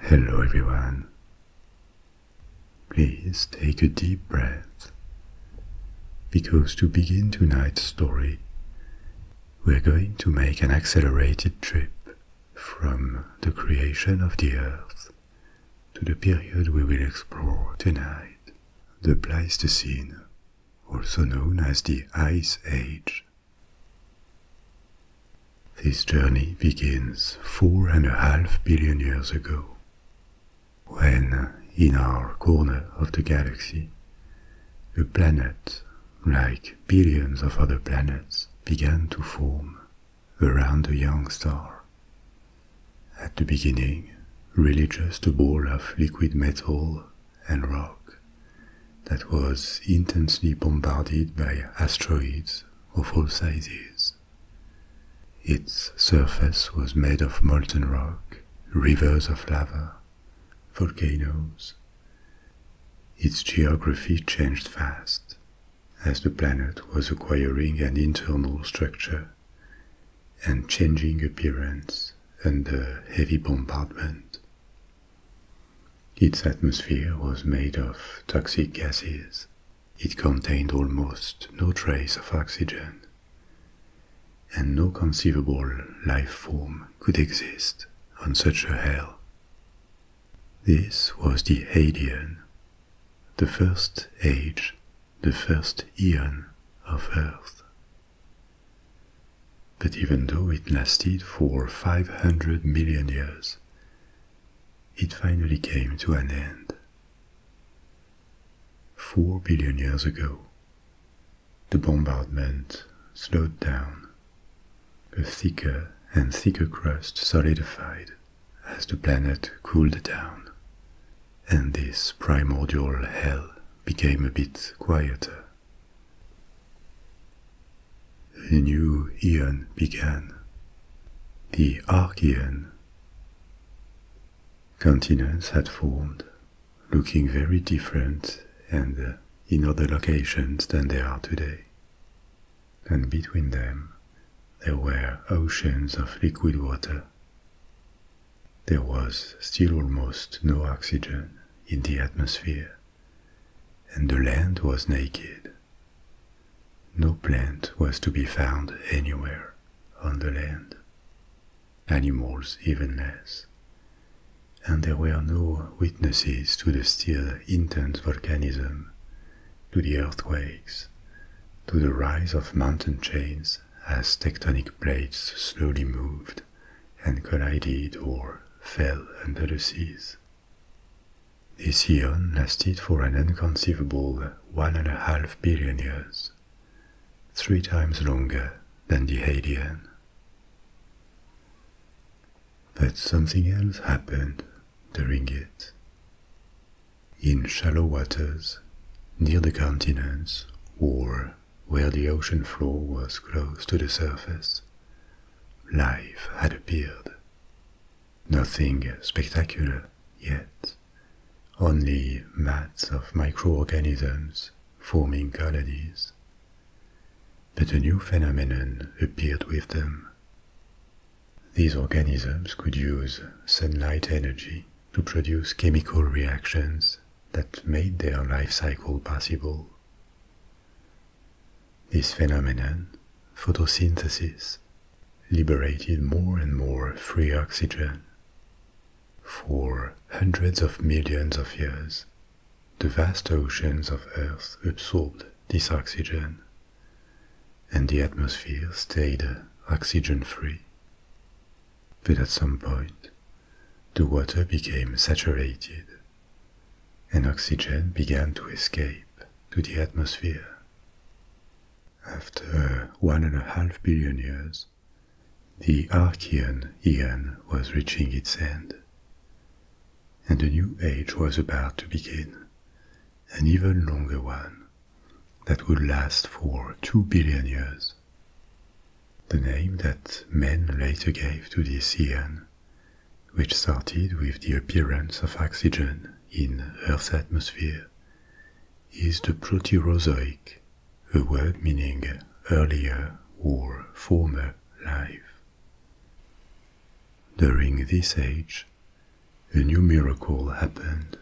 Hello everyone. Please take a deep breath because to begin tonight's story, we're going to make an accelerated trip from the creation of the Earth to the period we will explore tonight, the Pleistocene, also known as the Ice Age. This journey begins four and a half billion years ago, when, in our corner of the galaxy, a planet, like billions of other planets, began to form around a young star. At the beginning, really just a ball of liquid metal and rock that was intensely bombarded by asteroids of all sizes. Its surface was made of molten rock, rivers of lava, volcanoes. Its geography changed fast as the planet was acquiring an internal structure and changing appearance under heavy bombardment. Its atmosphere was made of toxic gases. It contained almost no trace of oxygen, and no conceivable life form could exist on such a hell. This was the Hadean, the first age, the first eon of Earth. But even though it lasted for 500 million years, it finally came to an end. Four billion years ago, the bombardment slowed down. A thicker and thicker crust solidified as the planet cooled down, and this primordial hell became a bit quieter. A new eon began, the Archean. Continents had formed, looking very different and uh, in other locations than they are today. And between them, there were oceans of liquid water. There was still almost no oxygen in the atmosphere and the land was naked. No plant was to be found anywhere on the land, animals even less, and there were no witnesses to the still intense volcanism, to the earthquakes, to the rise of mountain chains as tectonic plates slowly moved and collided or fell under the seas. This eon lasted for an inconceivable one and a half billion years, three times longer than the Hadean. But something else happened during it. In shallow waters, near the continents, or where the ocean floor was close to the surface, Life had appeared. Nothing spectacular yet, only mats of microorganisms forming colonies. But a new phenomenon appeared with them. These organisms could use sunlight energy to produce chemical reactions that made their life cycle possible. This phenomenon, photosynthesis, liberated more and more free oxygen. For hundreds of millions of years, the vast oceans of Earth absorbed this oxygen, and the atmosphere stayed oxygen free. But at some point, the water became saturated and oxygen began to escape to the atmosphere. After one and a half billion years, the Archean Aeon was reaching its end, and a new age was about to begin, an even longer one that would last for two billion years. The name that men later gave to this Aeon which started with the appearance of oxygen in Earth's atmosphere, is the Proterozoic, a word meaning earlier or former life. During this age, a new miracle happened.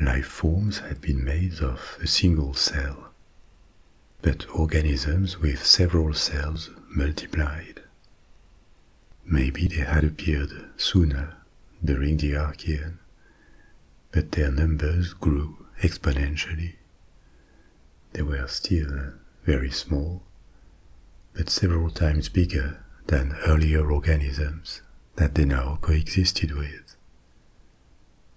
Life forms had been made of a single cell, but organisms with several cells multiplied. Maybe they had appeared sooner during the Archean, but their numbers grew exponentially. They were still very small, but several times bigger than earlier organisms that they now coexisted with.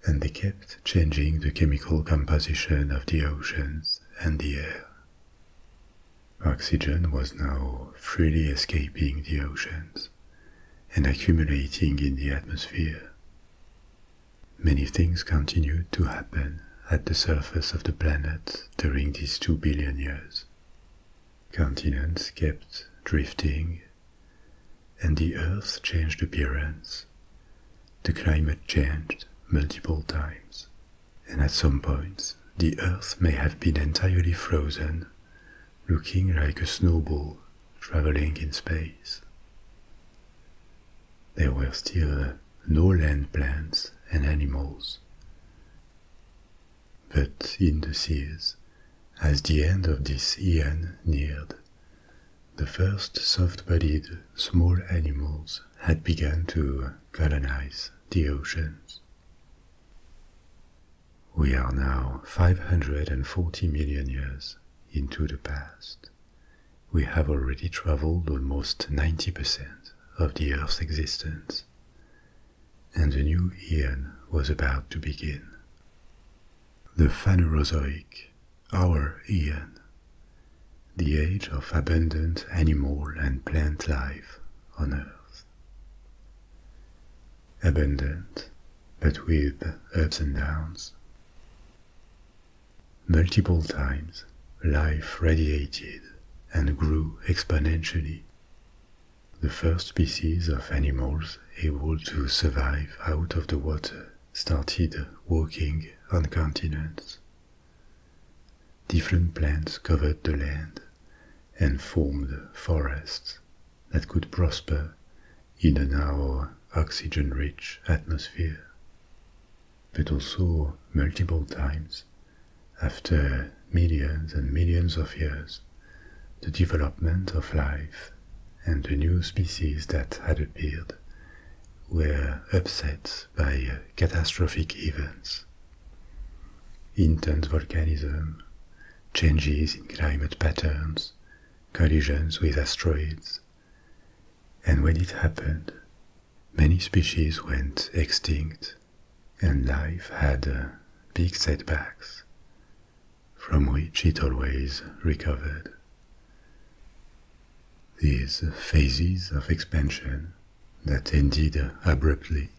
And they kept changing the chemical composition of the oceans and the air Oxygen was now freely escaping the oceans and accumulating in the atmosphere. Many things continued to happen at the surface of the planet during these two billion years. Continents kept drifting, and the Earth changed appearance. The climate changed multiple times, and at some point the Earth may have been entirely frozen, looking like a snowball traveling in space. There were still no land plants and animals. But in the seas, as the end of this eon neared, the first soft-bodied small animals had begun to colonize the oceans. We are now 540 million years into the past. We have already traveled almost 90% of the Earth's existence, and the new Eon was about to begin. The Phanerozoic, our Eon, the age of abundant animal and plant life on Earth. Abundant, but with ups and downs. Multiple times, life radiated and grew exponentially. The first species of animals able to survive out of the water started walking on continents Different plants covered the land and formed forests that could prosper in an our oxygen-rich atmosphere. But also multiple times, after millions and millions of years, the development of life and the new species that had appeared were upset by uh, catastrophic events. Intense volcanism, changes in climate patterns, collisions with asteroids. And when it happened, many species went extinct and life had uh, big setbacks, from which it always recovered. These phases of expansion that ended abruptly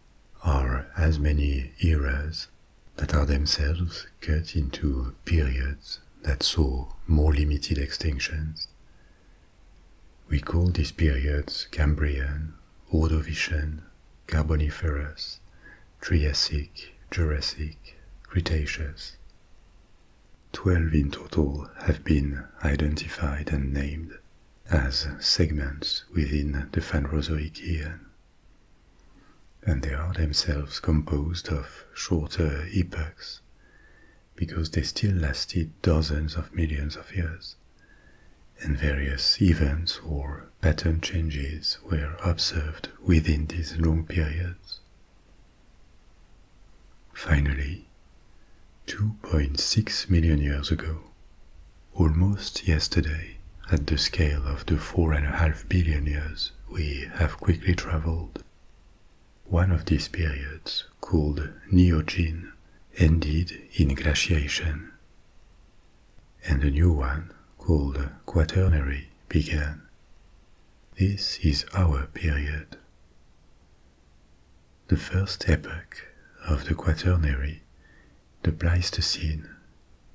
are as many eras that are themselves cut into periods that saw more limited extinctions. We call these periods Cambrian, Ordovician, Carboniferous, Triassic, Jurassic, Cretaceous. Twelve in total have been identified and named, as segments within the Phanerozoic era, And they are themselves composed of shorter epochs because they still lasted dozens of millions of years, and various events or pattern changes were observed within these long periods. Finally, 2.6 million years ago, almost yesterday, at the scale of the 4.5 billion years we have quickly traveled. One of these periods, called Neogene, ended in glaciation, and a new one, called Quaternary, began. This is our period. The first epoch of the Quaternary, the Pleistocene,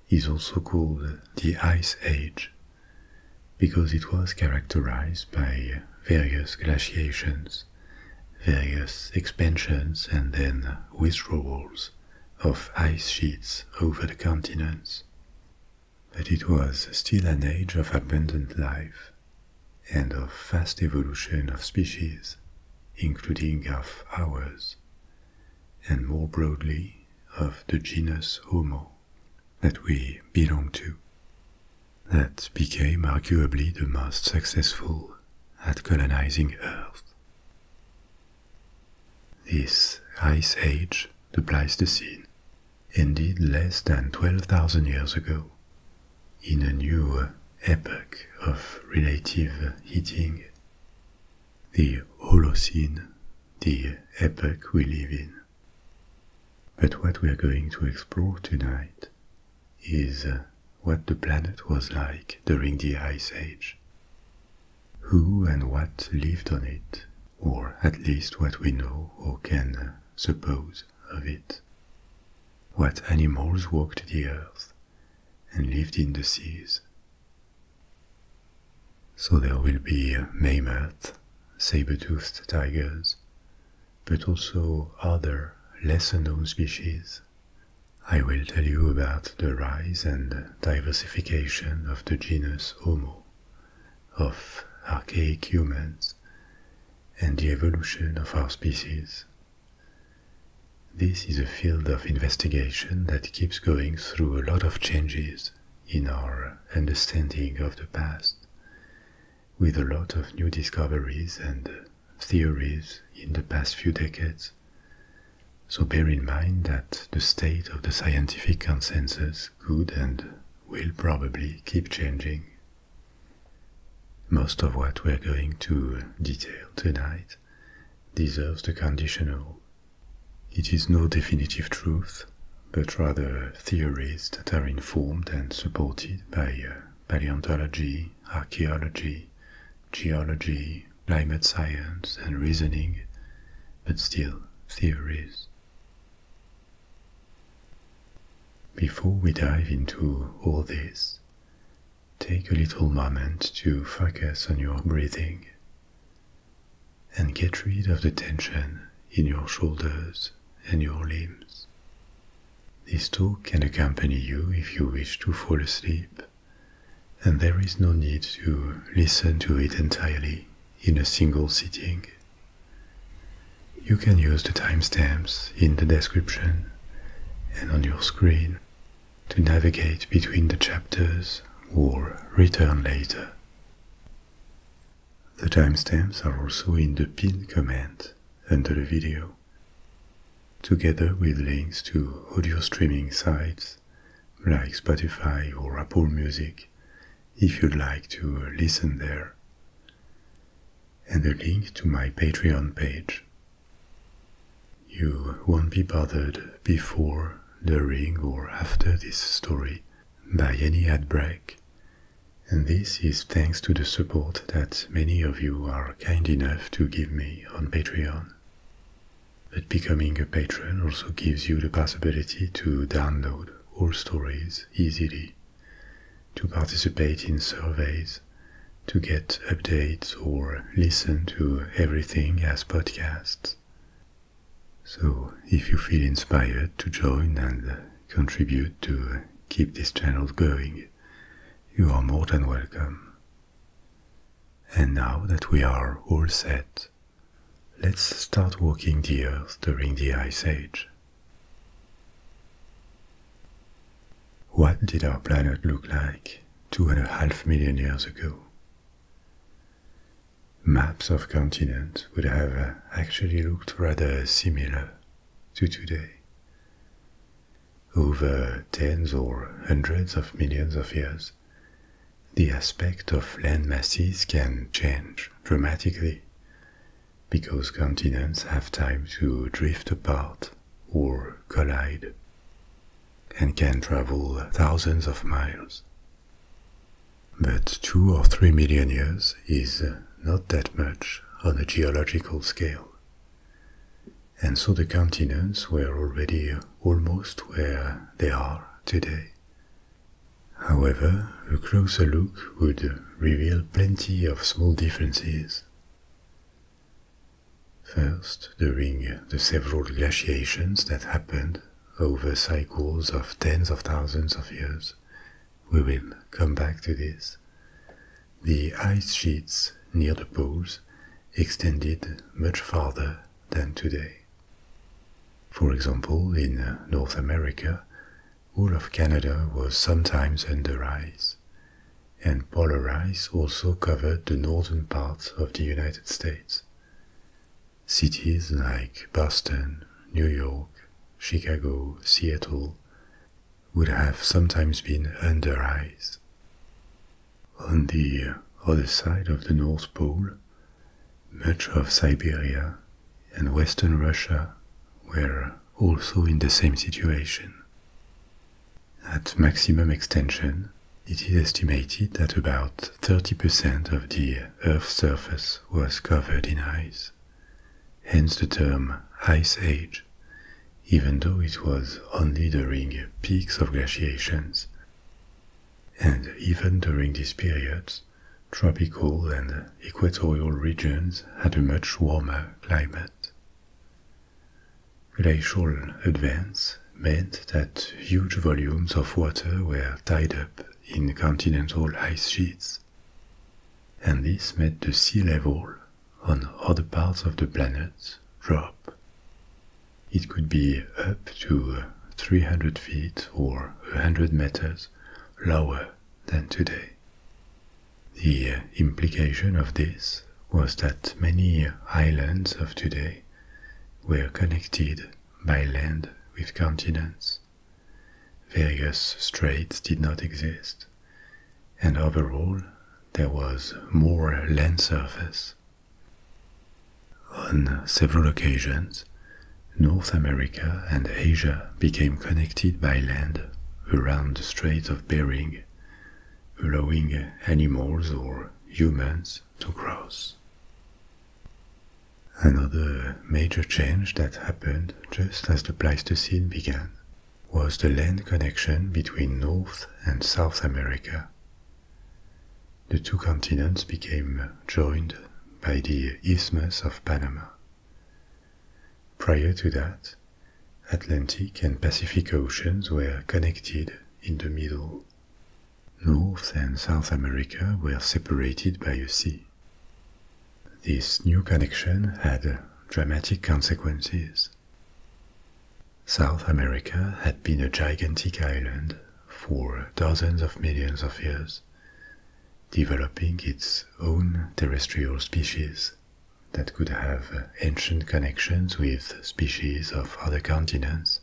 is also called the Ice Age because it was characterized by various glaciations, various expansions and then withdrawals of ice sheets over the continents. But it was still an age of abundant life and of fast evolution of species, including of ours, and more broadly of the genus Homo that we belong to, that became arguably the most successful at colonizing Earth. This Ice Age, the Pleistocene, ended less than 12,000 years ago in a new epoch of relative heating. The Holocene, the epoch we live in. But what we are going to explore tonight is what the planet was like during the Ice Age. Who and what lived on it, or at least what we know or can suppose of it what animals walked the earth and lived in the seas. So there will be mammoths, saber-toothed tigers, but also other lesser-known species. I will tell you about the rise and diversification of the genus Homo, of archaic humans, and the evolution of our species this is a field of investigation that keeps going through a lot of changes in our understanding of the past, with a lot of new discoveries and theories in the past few decades. So bear in mind that the state of the scientific consensus could and will probably keep changing most of what we're going to detail tonight deserves the conditional. It is no definitive truth, but rather theories that are informed and supported by uh, paleontology, archaeology, geology, climate science, and reasoning, but still theories. Before we dive into all this, Take a little moment to focus on your breathing and get rid of the tension in your shoulders and your limbs. This tool can accompany you if you wish to fall asleep, and there is no need to listen to it entirely in a single sitting. You can use the timestamps in the description and on your screen to navigate between the chapters or return later. The timestamps are also in the pinned comment under the video, together with links to audio streaming sites like Spotify or Apple Music if you'd like to listen there, and a link to my Patreon page you won't be bothered before, during, or after this story by any ad break, and this is thanks to the support that many of you are kind enough to give me on Patreon. But becoming a patron also gives you the possibility to download all stories easily to participate in surveys, to get updates or listen to everything as podcasts. So, if you feel inspired to join and contribute to keep this channel going, you are more than welcome. And now that we are all set, let's start walking the Earth during the Ice Age. What did our planet look like two and a half million years ago? Maps of continents would have uh, actually looked rather similar to today. Over tens or hundreds of millions of years, the aspect of land masses can change dramatically because continents have time to drift apart or collide, and can travel thousands of miles. But two or three million years is not that much on a geological scale. And so the continents were already almost where they are today. However, a closer look would reveal plenty of small differences. First, during the several glaciations that happened over cycles of tens of thousands of years, we will come back to this, the ice sheets near the poles extended much farther than today. For example, in North America, all of Canada was sometimes under ice, and polar ice also covered the northern parts of the United States. Cities like Boston, New York, Chicago, Seattle would have sometimes been under ice. On the other side of the North Pole, much of Siberia and Western Russia were also in the same situation. At maximum extension, it is estimated that about 30% of the Earth's surface was covered in ice, hence the term Ice Age, even though it was only during peaks of glaciations. And even during these periods, tropical and equatorial regions had a much warmer climate. Glacial advance meant that huge volumes of water were tied up in continental ice sheets, and this made the sea level on other parts of the planet drop. It could be up to 300 feet or 100 meters lower than today. The implication of this was that many islands of today were connected by land with continents. Various straits did not exist, and overall there was more land surface. On several occasions, North America and Asia became connected by land around the Strait of Bering, allowing animals or humans to cross. Another major change that happened just as the Pleistocene began was the land connection between North and South America. The two continents became joined by the Isthmus of Panama. Prior to that, Atlantic and Pacific Oceans were connected in the middle. North and South America were separated by a sea. This new connection had dramatic consequences. South America had been a gigantic island for dozens of millions of years, developing its own terrestrial species that could have uh, ancient connections with species of other continents,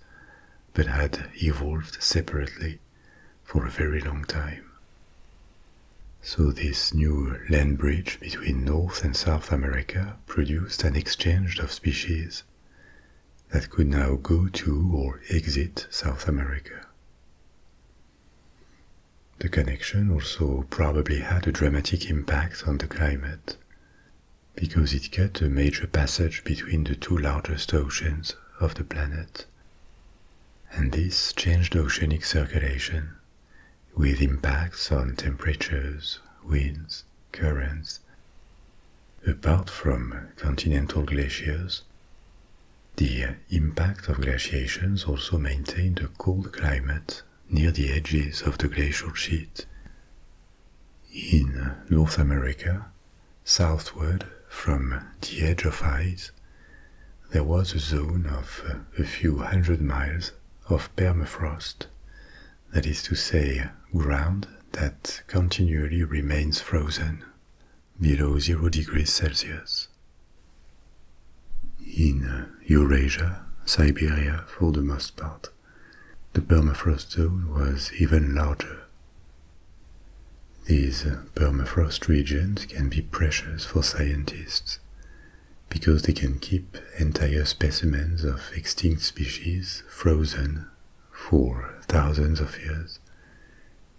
but had evolved separately for a very long time. So, this new land bridge between North and South America produced an exchange of species that could now go to or exit South America. The connection also probably had a dramatic impact on the climate, because it cut a major passage between the two largest oceans of the planet. And this changed oceanic circulation, with impacts on temperatures, winds, currents. Apart from continental glaciers, the impact of glaciations also maintained a cold climate near the edges of the glacial sheet. In North America, southward from the edge of ice, there was a zone of a few hundred miles of permafrost, that is to say, ground that continually remains frozen below zero degrees Celsius. In Eurasia, Siberia for the most part, the permafrost zone was even larger. These uh, permafrost regions can be precious for scientists because they can keep entire specimens of extinct species frozen for thousands of years,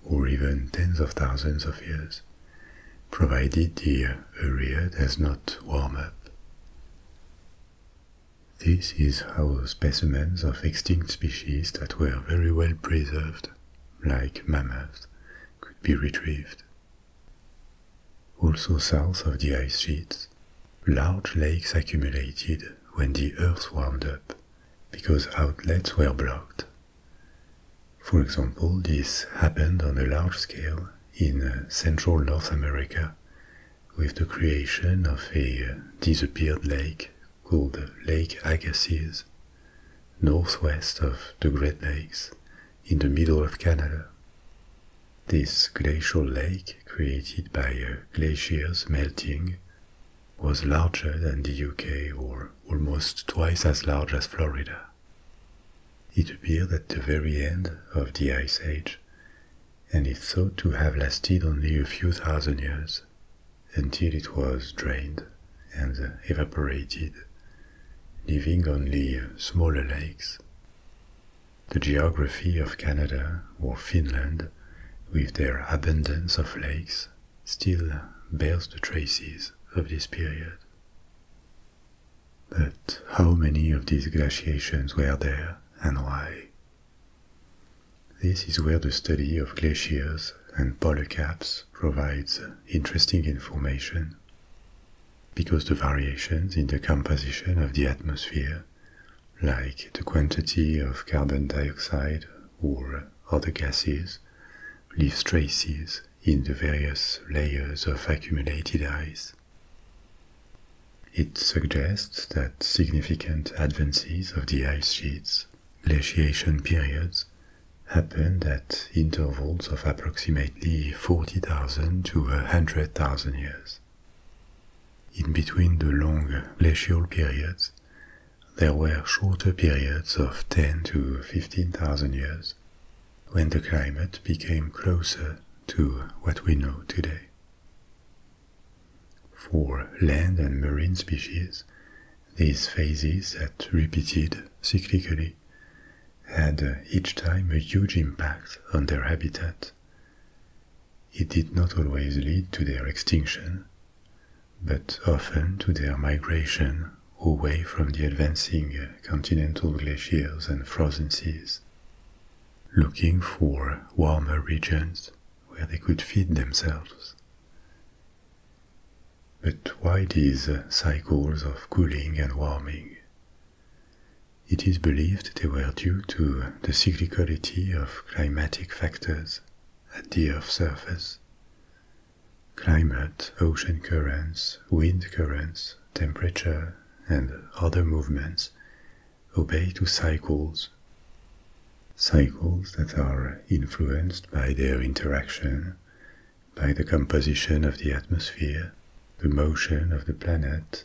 or even tens of thousands of years, provided the area does not warm up. This is how specimens of extinct species that were very well preserved, like mammoths, could be retrieved. Also south of the ice sheets, large lakes accumulated when the earth warmed up because outlets were blocked. For example, this happened on a large scale in uh, central North America with the creation of a uh, disappeared lake called Lake Agassiz, northwest of the Great Lakes, in the middle of Canada. This glacial lake, created by uh, glaciers melting, was larger than the UK or almost twice as large as Florida. It appeared at the very end of the Ice Age and is thought to have lasted only a few thousand years until it was drained and evaporated, leaving only smaller lakes. The geography of Canada or Finland, with their abundance of lakes, still bears the traces of this period. But how many of these glaciations were there? and why. This is where the study of glaciers and polar caps provides interesting information, because the variations in the composition of the atmosphere, like the quantity of carbon dioxide or other gases, leaves traces in the various layers of accumulated ice. It suggests that significant advances of the ice sheets, glaciation periods, happened at intervals of approximately 40,000 to 100,000 years. In between the long glacial periods, there were shorter periods of 10 to 15,000 years when the climate became closer to what we know today. For land and marine species, these phases that repeated cyclically had each time a huge impact on their habitat. It did not always lead to their extinction, but often to their migration away from the advancing continental glaciers and frozen seas looking for warmer regions where they could feed themselves. But why these cycles of cooling and warming? It is believed they were due to the cyclicity of climatic factors at the Earth's surface. Climate, ocean currents, wind currents, temperature, and other movements obey to cycles. Cycles that are influenced by their interaction, by the composition of the atmosphere, the motion of the planet,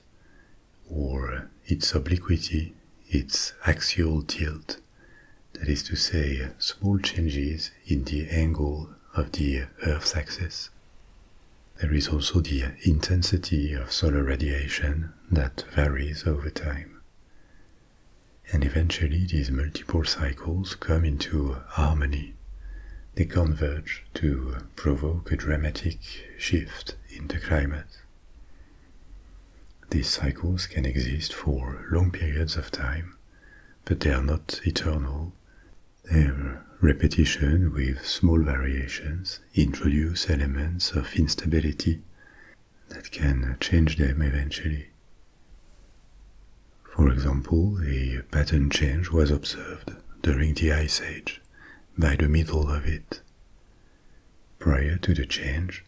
or its obliquity, its axial tilt, that is to say, small changes in the angle of the Earth's axis. There is also the intensity of solar radiation that varies over time. And eventually these multiple cycles come into harmony. They converge to provoke a dramatic shift in the climate. These cycles can exist for long periods of time, but they are not eternal. They are repetition with small variations introduce elements of instability that can change them eventually. For example, a pattern change was observed during the Ice Age by the middle of it. Prior to the change,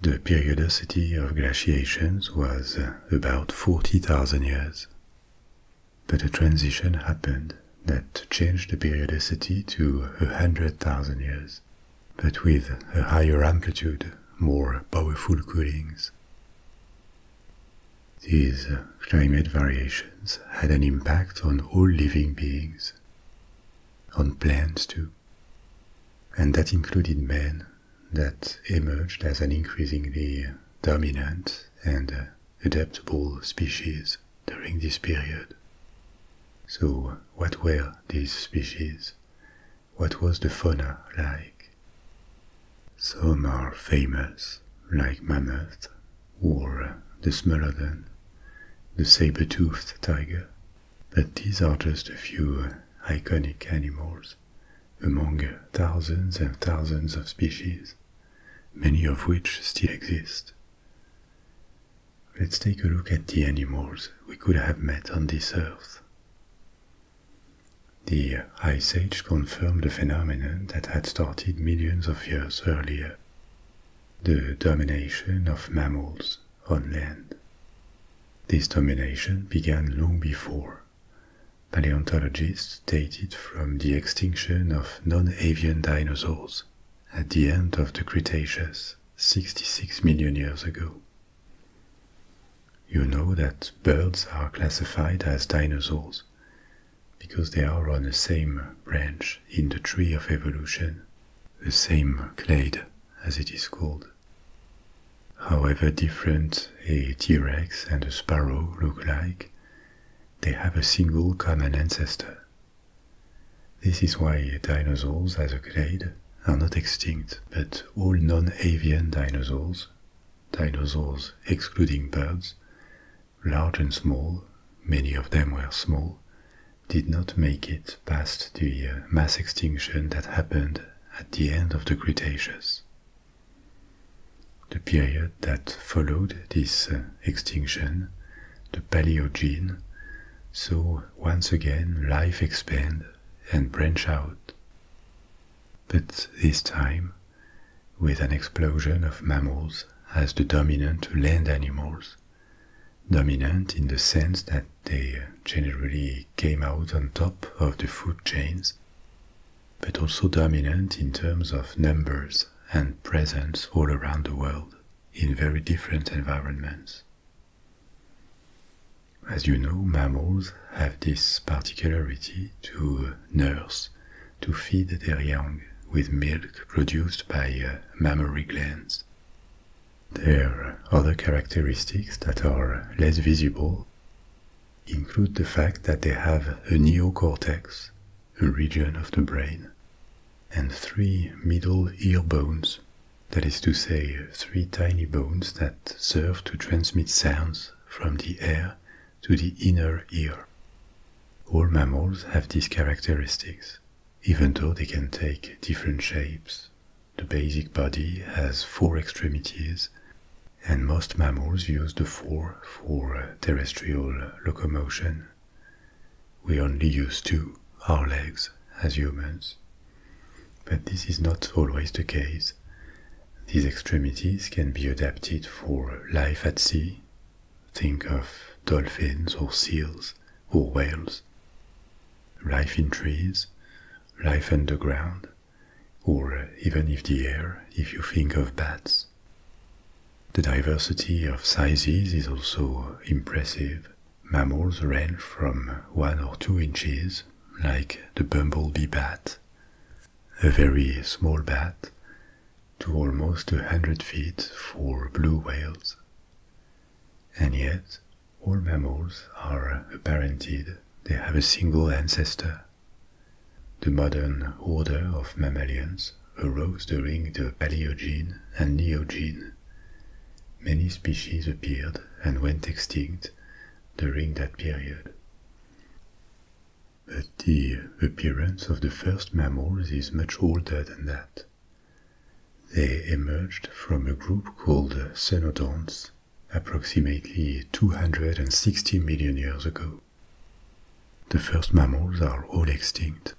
the periodicity of glaciations was about 40,000 years. But a transition happened that changed the periodicity to 100,000 years, but with a higher amplitude, more powerful coolings. These climate variations had an impact on all living beings, on plants too, and that included man that emerged as an increasingly dominant and adaptable species during this period. So, what were these species? What was the fauna like? Some are famous, like mammoth or the smilodon, the saber-toothed tiger, but these are just a few iconic animals among thousands and thousands of species, many of which still exist Let's take a look at the animals we could have met on this earth. The Ice Age confirmed a phenomenon that had started millions of years earlier the domination of mammals on land. This domination began long before. Paleontologists date it from the extinction of non avian dinosaurs at the end of the Cretaceous 66 million years ago. You know that birds are classified as dinosaurs because they are on the same branch in the tree of evolution, the same clade as it is called. However different a T-Rex and a sparrow look like, they have a single common ancestor, this is why dinosaurs as a clade are not extinct, but all non-avian dinosaurs, dinosaurs excluding birds, large and small, many of them were small, did not make it past the uh, mass extinction that happened at the end of the Cretaceous. The period that followed this uh, extinction, the Paleogene, so once again life expand and branch out. But this time, with an explosion of mammals as the dominant land animals, dominant in the sense that they generally came out on top of the food chains, but also dominant in terms of numbers and presence all around the world in very different environments. As you know, mammals have this particularity to nurse, to feed their young with milk produced by uh, mammary glands. Their other characteristics that are less visible include the fact that they have a neocortex a region of the brain, and three middle ear bones, that is to say, three tiny bones that serve to transmit sounds from the air to the inner ear. All mammals have these characteristics, even though they can take different shapes. The basic body has four extremities, and most mammals use the four for terrestrial locomotion we only use two, our legs, as humans. But this is not always the case. These extremities can be adapted for life at sea. Think of dolphins or seals or whales. Life in trees, life underground, or even if the air, if you think of bats. The diversity of sizes is also impressive. Mammals range from 1 or 2 inches, like the bumblebee bat, a very small bat, to almost a 100 feet for blue whales. And yet, all mammals are apparented, they have a single ancestor. The modern order of mammalians arose during the Paleogene and Neogene. Many species appeared and went extinct during that period. But the appearance of the first mammals is much older than that. They emerged from a group called Cenodonts approximately 260 million years ago. The first mammals are all extinct,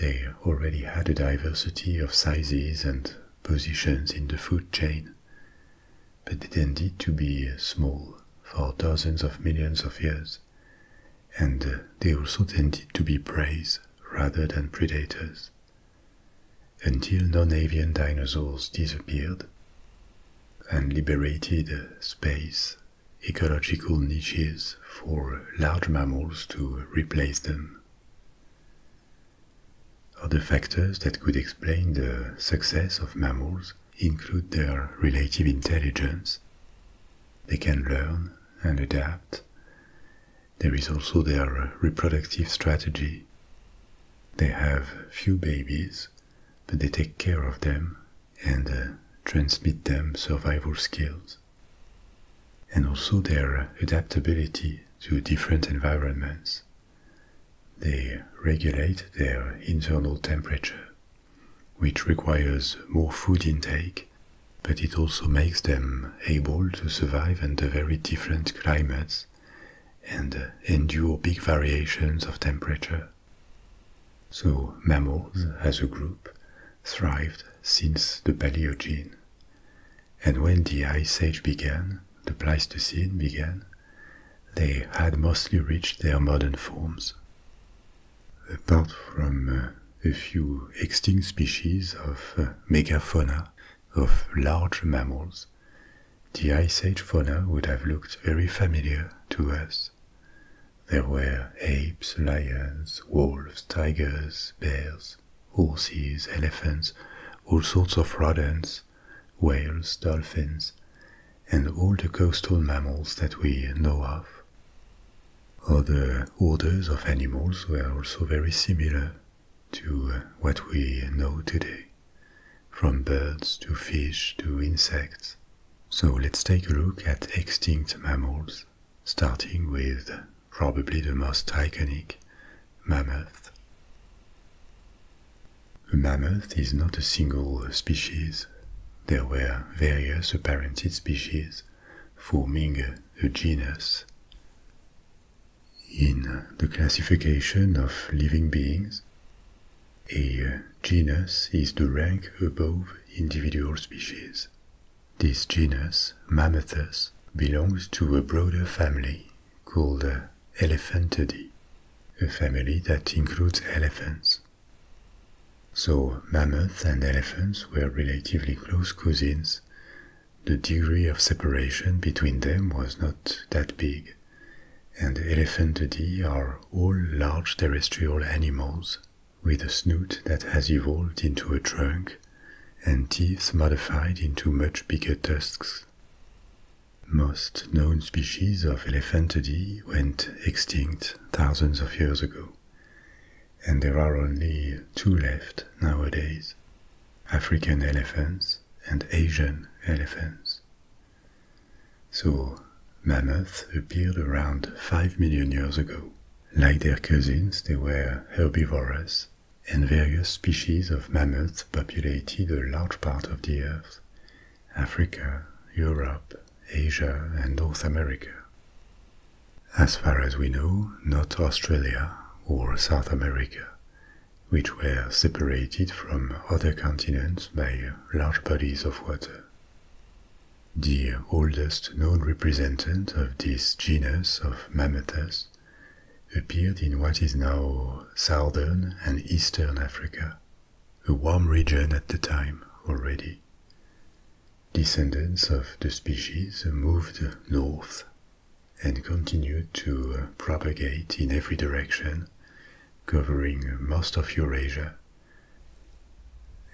they already had a diversity of sizes and positions in the food chain, but they tended to be small for dozens of millions of years, and they also tended to be prey rather than predators. Until non avian dinosaurs disappeared and liberated space, ecological niches for large mammals to replace them. Other factors that could explain the success of mammals include their relative intelligence. They can learn and adapt. There is also their reproductive strategy. They have few babies, but they take care of them and uh, transmit them survival skills and also their adaptability to different environments. They regulate their internal temperature, which requires more food intake, but it also makes them able to survive under very different climates and endure big variations of temperature. So mammals as a group thrived since the Paleogene. And when the Ice Age began, the Pleistocene began, they had mostly reached their modern forms. Apart from uh, a few extinct species of uh, megafauna, of large mammals, the Ice Age fauna would have looked very familiar to us. There were apes, lions, wolves, tigers, bears, horses, elephants, all sorts of rodents, whales, dolphins, and all the coastal mammals that we know of. Other orders of animals were also very similar to uh, what we know today, from birds to fish to insects. So let's take a look at extinct mammals starting with probably the most iconic mammoth. A mammoth is not a single species. There were various apparented species forming a genus. In the classification of living beings, a genus is the rank above individual species. This genus, Mammothus, belongs to a broader family called the Elephantidae, a family that includes elephants. So mammoth and elephants were relatively close cousins. The degree of separation between them was not that big, and elephantidae are all large terrestrial animals with a snout that has evolved into a trunk and teeth modified into much bigger tusks. Most known species of elephantidae went extinct thousands of years ago, and there are only two left nowadays African elephants and Asian elephants. So, mammoths appeared around 5 million years ago. Like their cousins, they were herbivorous and various species of mammoths populated a large part of the Earth, Africa, Europe, Asia, and North America. As far as we know, not Australia or South America, which were separated from other continents by large bodies of water. The oldest known representative of this genus of mammoths appeared in what is now southern and eastern Africa, a warm region at the time already. Descendants of the species moved north and continued to propagate in every direction, covering most of Eurasia.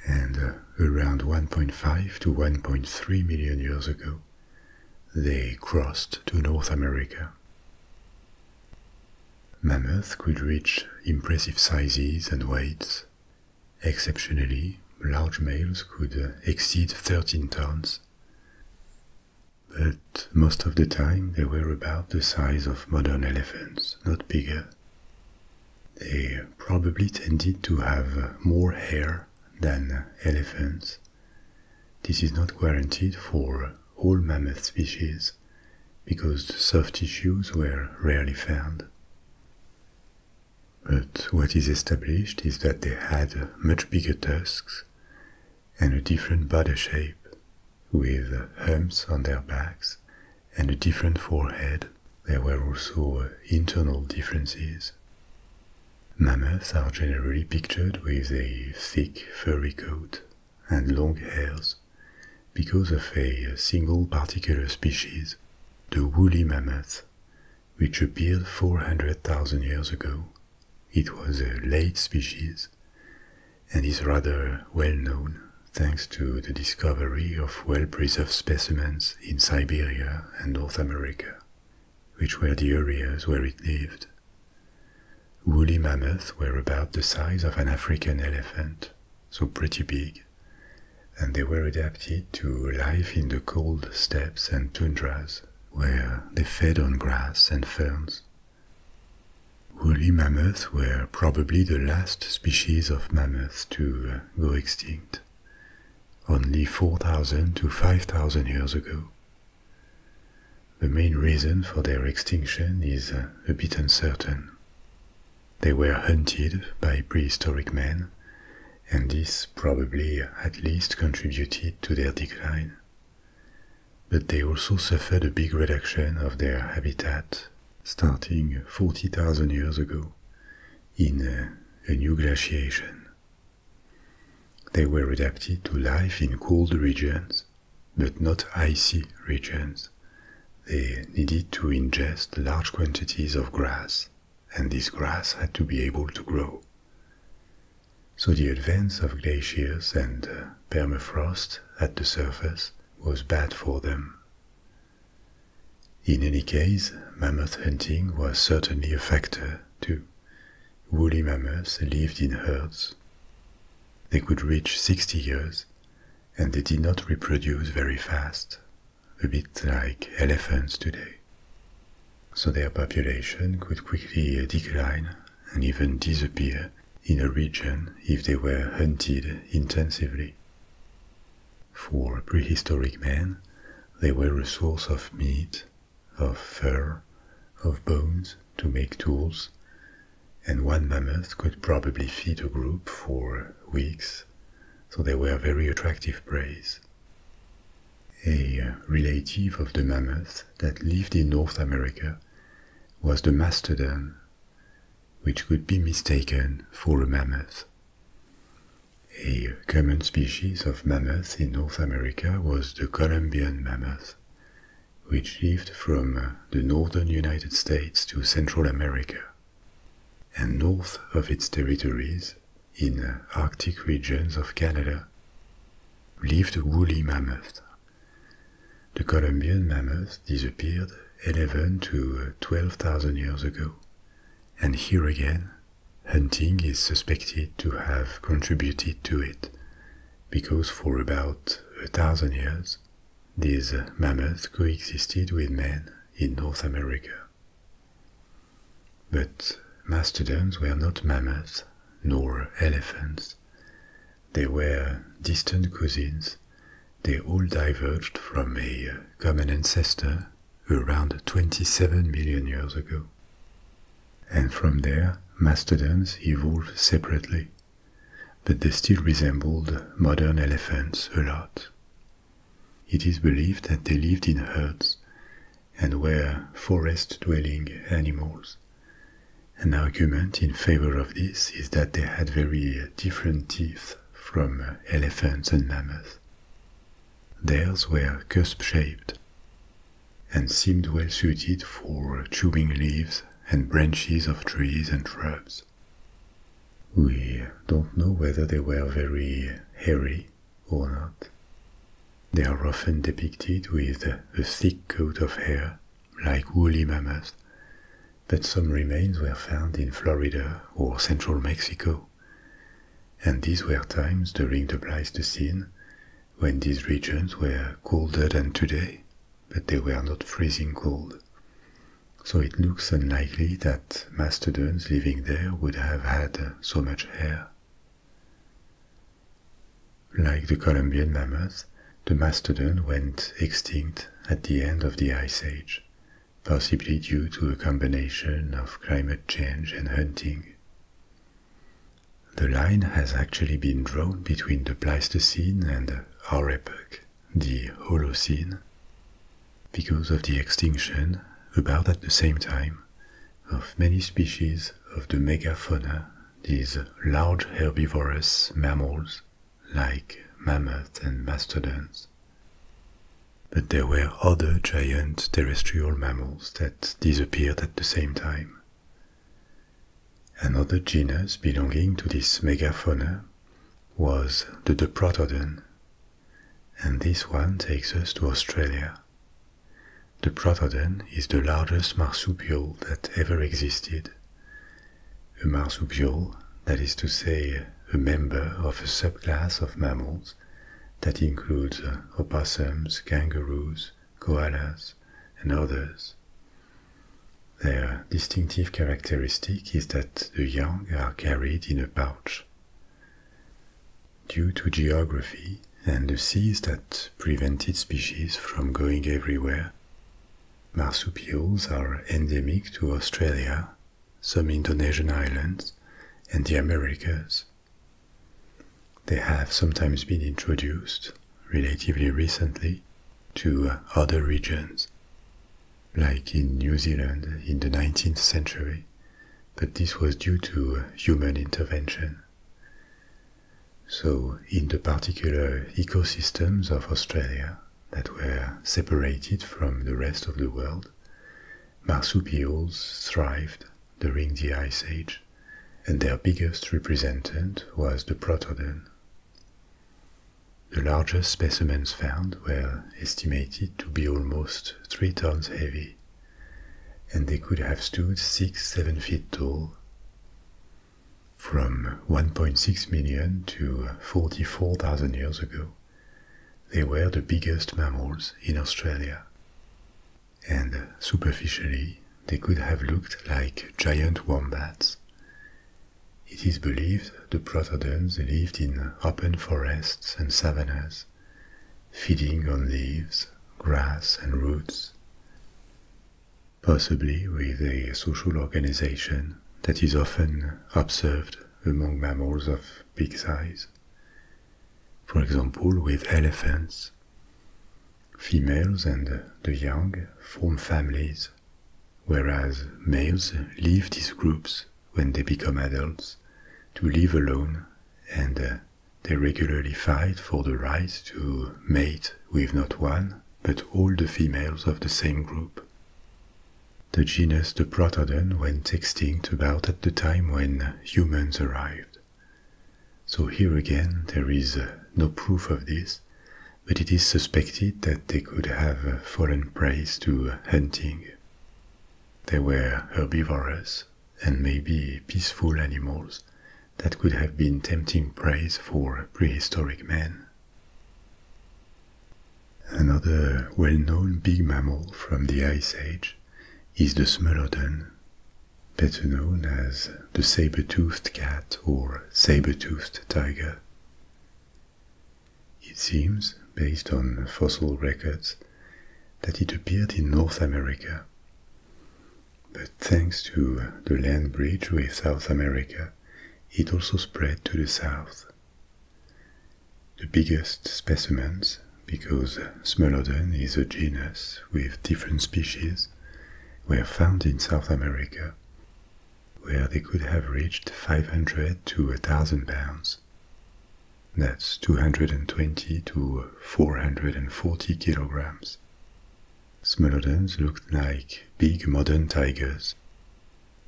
And uh, around 1.5 to 1.3 million years ago, they crossed to North America. Mammoth could reach impressive sizes and weights. Exceptionally, large males could uh, exceed 13 tons. But most of the time, they were about the size of modern elephants, not bigger. They probably tended to have more hair than elephants. This is not guaranteed for all mammoth species because soft tissues were rarely found. But what is established is that they had much bigger tusks and a different body shape, with humps on their backs and a different forehead. There were also internal differences. Mammoths are generally pictured with a thick furry coat and long hairs because of a single particular species, the woolly mammoth, which appeared 400,000 years ago. It was a late species and is rather well known thanks to the discovery of well preserved specimens in Siberia and North America which were the areas where it lived. Woolly mammoths were about the size of an African elephant, so pretty big, and they were adapted to life in the cold steppes and tundras, where they fed on grass and ferns. Woolly mammoths were probably the last species of mammoths to uh, go extinct, only 4,000 to 5,000 years ago. The main reason for their extinction is uh, a bit uncertain. They were hunted by prehistoric men, and this probably at least contributed to their decline. But they also suffered a big reduction of their habitat starting 40,000 years ago in uh, a, new glaciation. They were adapted to life in cold regions, but not icy regions. They needed to ingest large quantities of grass, and this grass had to be able to grow. So the advance of glaciers and uh, permafrost at the surface was bad for them. In any case, mammoth hunting was certainly a factor too. Woolly mammoths lived in herds. They could reach 60 years, and they did not reproduce very fast, a bit like elephants today. So their population could quickly decline and even disappear in a region if they were hunted intensively. For prehistoric man, they were a source of meat of fur, of bones to make tools, and one mammoth could probably feed a group for weeks, so they were very attractive prey. A relative of the mammoth that lived in North America was the mastodon, which could be mistaken for a mammoth. A common species of mammoth in North America was the Columbian mammoth, which lived from uh, the northern United States to Central America. And north of its territories, in uh, Arctic regions of Canada, lived the woolly mammoth. The Columbian mammoth disappeared 11 to uh, 12,000 years ago, and here again Hunting is suspected to have contributed to it, because for about a thousand years, these mammoths coexisted with men in North America. But mastodons were not mammoths nor elephants. They were distant cousins. They all diverged from a common ancestor around 27 million years ago. And from there, mastodons evolved separately, but they still resembled modern elephants a lot. It is believed that they lived in herds and were forest dwelling animals. An argument in favor of this is that they had very different teeth from elephants and mammoths. Theirs were cusp shaped, and seemed well suited for chewing leaves and branches of trees and shrubs. We don't know whether they were very hairy or not. They are often depicted with a thick coat of hair, like woolly mammoths, but some remains were found in Florida or central Mexico and these were times during the Pleistocene when these regions were colder than today, but they were not freezing cold. So it looks unlikely that mastodons living there would have had so much hair. Like the Columbian mammoth, the mastodon went extinct at the end of the Ice Age, possibly due to a combination of climate change and hunting. The line has actually been drawn between the Pleistocene and our epoch, the Holocene, because of the extinction, about at the same time, of many species of the megafauna, these large herbivorous mammals like mammoths and mastodons. But there were other giant terrestrial mammals that disappeared at the same time. Another genus belonging to this megafauna was the Diprotodon, and this one takes us to Australia. The Protodon is the largest marsupial that ever existed. A marsupial, that is to say, a member of a subclass of mammals that includes opossums, kangaroos, koalas, and others. Their distinctive characteristic is that the young are carried in a pouch. Due to geography and the seas that prevented species from going everywhere, marsupials are endemic to Australia, some Indonesian islands, and the Americas. They have sometimes been introduced, relatively recently, to other regions, like in New Zealand in the 19th century, but this was due to human intervention. So, in the particular ecosystems of Australia that were separated from the rest of the world, marsupials thrived during the Ice Age, and their biggest representant was the Protodon. The largest specimens found were estimated to be almost three tons heavy, and they could have stood six, seven feet tall. From 1.6 million to 44,000 years ago, they were the biggest mammals in Australia and superficially they could have looked like giant wombats. It is believed the protodons lived in open forests and savannas, feeding on leaves, grass, and roots, possibly with a social organization that is often observed among mammals of big size. For example, with elephants Females and the young form families, whereas males leave these groups when they become adults to live alone and uh, they regularly fight for the right to mate with not one, but all the females of the same group. The genus the Protodon went extinct about at the time when humans arrived. So here again, there is uh, no proof of this, but it is suspected that they could have uh, fallen prey to uh, hunting. They were herbivorous and maybe peaceful animals that could have been tempting prey for prehistoric man. Another well known big mammal from the Ice Age is the Smilodon, better known as the saber-toothed cat or saber-toothed tiger. It seems, based on fossil records, that it appeared in North America. But thanks to the land bridge with South America, it also spread to the south. The biggest specimens, because Smilodon is a genus with different species were found in South America, where they could have reached 500 to 1000 pounds. That's 220 to 440 kilograms. Smilodons looked like big modern tigers,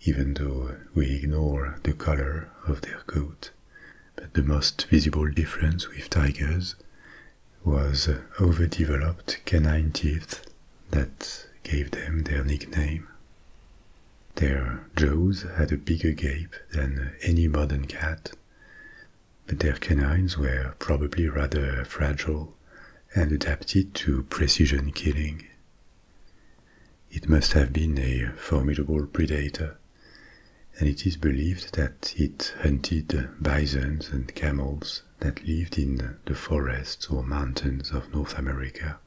even though we ignore the color of their coat. But the most visible difference with tigers was overdeveloped canine teeth that gave them their nickname. Their jaws had a bigger gape than any modern cat, but their canines were probably rather fragile and adapted to precision killing. It must have been a formidable predator, and it is believed that it hunted bisons and camels that lived in the forests or mountains of North America.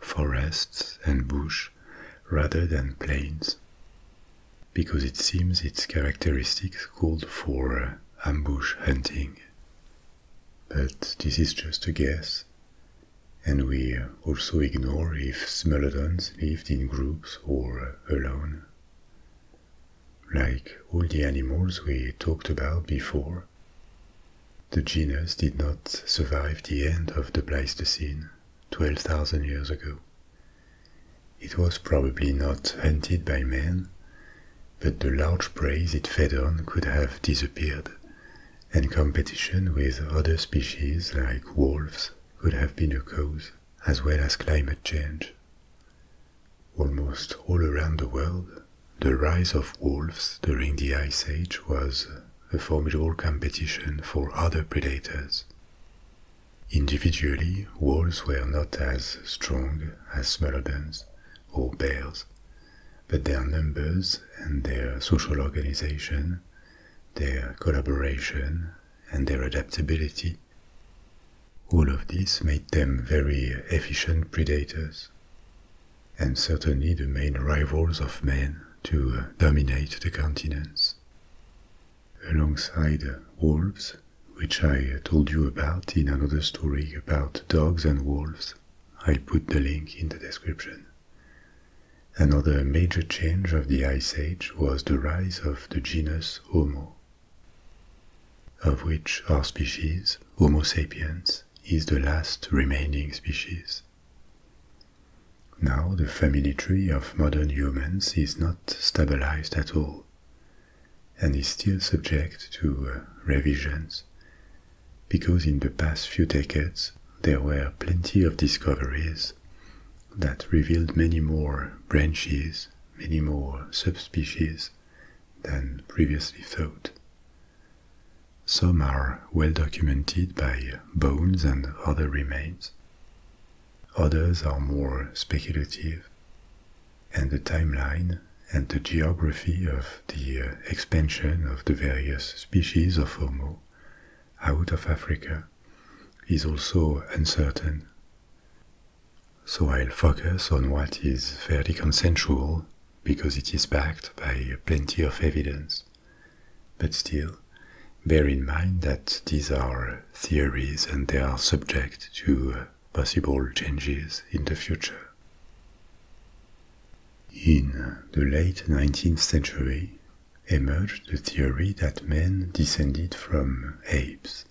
Forests and bush rather than plains, because it seems its characteristics called for uh, ambush hunting. But this is just a guess, and we also ignore if Smilodons lived in groups or uh, alone. Like all the animals we talked about before, the genus did not survive the end of the Pleistocene 12,000 years ago. It was probably not hunted by man, but the large prey it fed on could have disappeared, and competition with other species like wolves could have been a cause, as well as climate change. Almost all around the world, the rise of wolves during the Ice Age was a formidable competition for other predators. Individually, wolves were not as strong as smelodons or bears, but their numbers and their social organization, their collaboration and their adaptability all of this made them very efficient predators, and certainly the main rivals of man to uh, dominate the continents. Alongside wolves, which I uh, told you about in another story about dogs and wolves, I'll put the link in the description. Another major change of the Ice Age was the rise of the genus Homo of which our species, Homo sapiens, is the last remaining species. Now, the family tree of modern humans is not stabilized at all and is still subject to uh, revisions because in the past few decades there were plenty of discoveries that revealed many more branches many more subspecies than previously thought. Some are well documented by bones and other remains. Others are more speculative, and the timeline and the geography of the uh, expansion of the various species of Homo out of Africa is also uncertain. So I'll focus on what is fairly consensual because it is backed by plenty of evidence. But still, bear in mind that these are theories and they are subject to possible changes in the future. In the late 19th century, emerged the theory that men descended from apes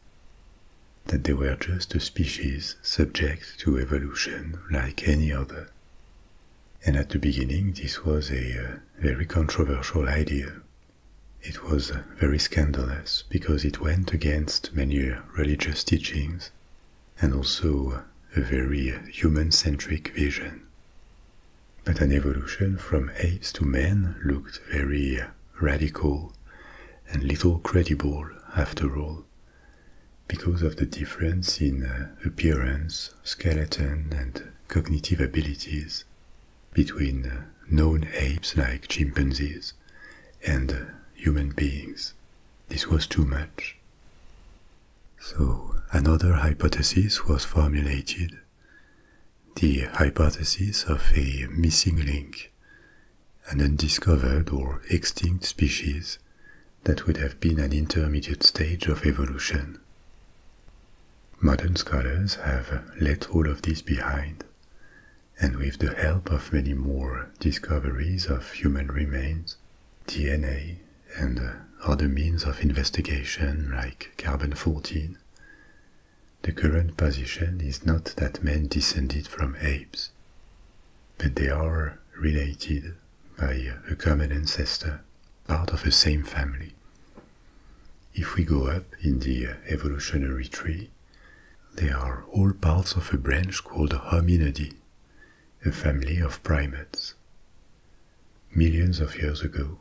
that they were just a species subject to evolution like any other. And at the beginning, this was a uh, very controversial idea. It was uh, very scandalous because it went against many uh, religious teachings and also a very human centric vision. But an evolution from apes to men looked very radical and little credible after all, because of the difference in uh, appearance, skeleton, and cognitive abilities between uh, known apes like chimpanzees and uh, human beings. This was too much. So, another hypothesis was formulated the hypothesis of a missing link an undiscovered or extinct species that would have been an intermediate stage of evolution. Modern scholars have let all of this behind, and with the help of many more discoveries of human remains, DNA, and other means of investigation like carbon 14, the current position is not that men descended from apes, but they are related by a common ancestor, part of the same family. If we go up in the evolutionary tree, they are all parts of a branch called Hominidae, a family of primates. Millions of years ago,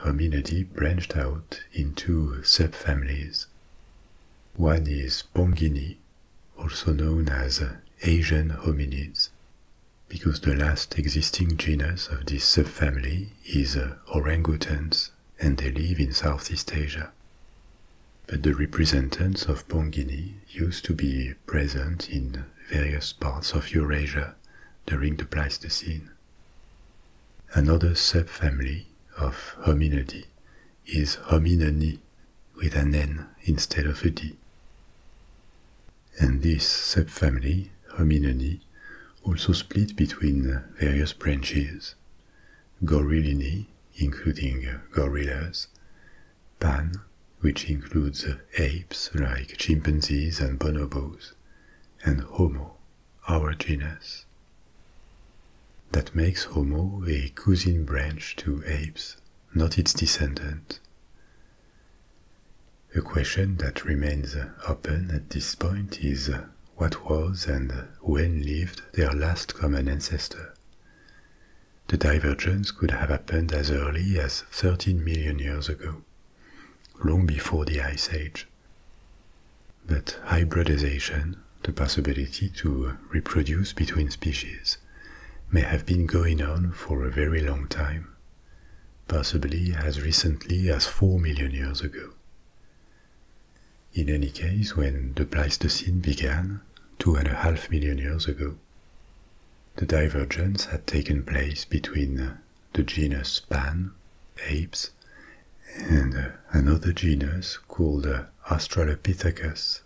Hominidae branched out into subfamilies. One is Pongini, also known as Asian hominids, because the last existing genus of this subfamily is uh, orangutans and they live in Southeast Asia. But the representatives of Pongini used to be present in various parts of Eurasia during the Pleistocene. Another subfamily of Hominidae is Hominini with an N instead of a D. And this subfamily, Hominini, also split between various branches. Gorillini, including gorillas, Pan, which includes apes like chimpanzees and bonobos, and Homo, our genus. That makes Homo a cousin branch to apes, not its descendant. A question that remains open at this point is what was and when lived their last common ancestor. The divergence could have happened as early as 13 million years ago, long before the Ice Age. But hybridization, the possibility to reproduce between species, may have been going on for a very long time, possibly as recently as 4 million years ago. In any case, when the Pleistocene began, two and a half million years ago, the divergence had taken place between the genus Pan, apes, and uh, another genus called uh, Australopithecus.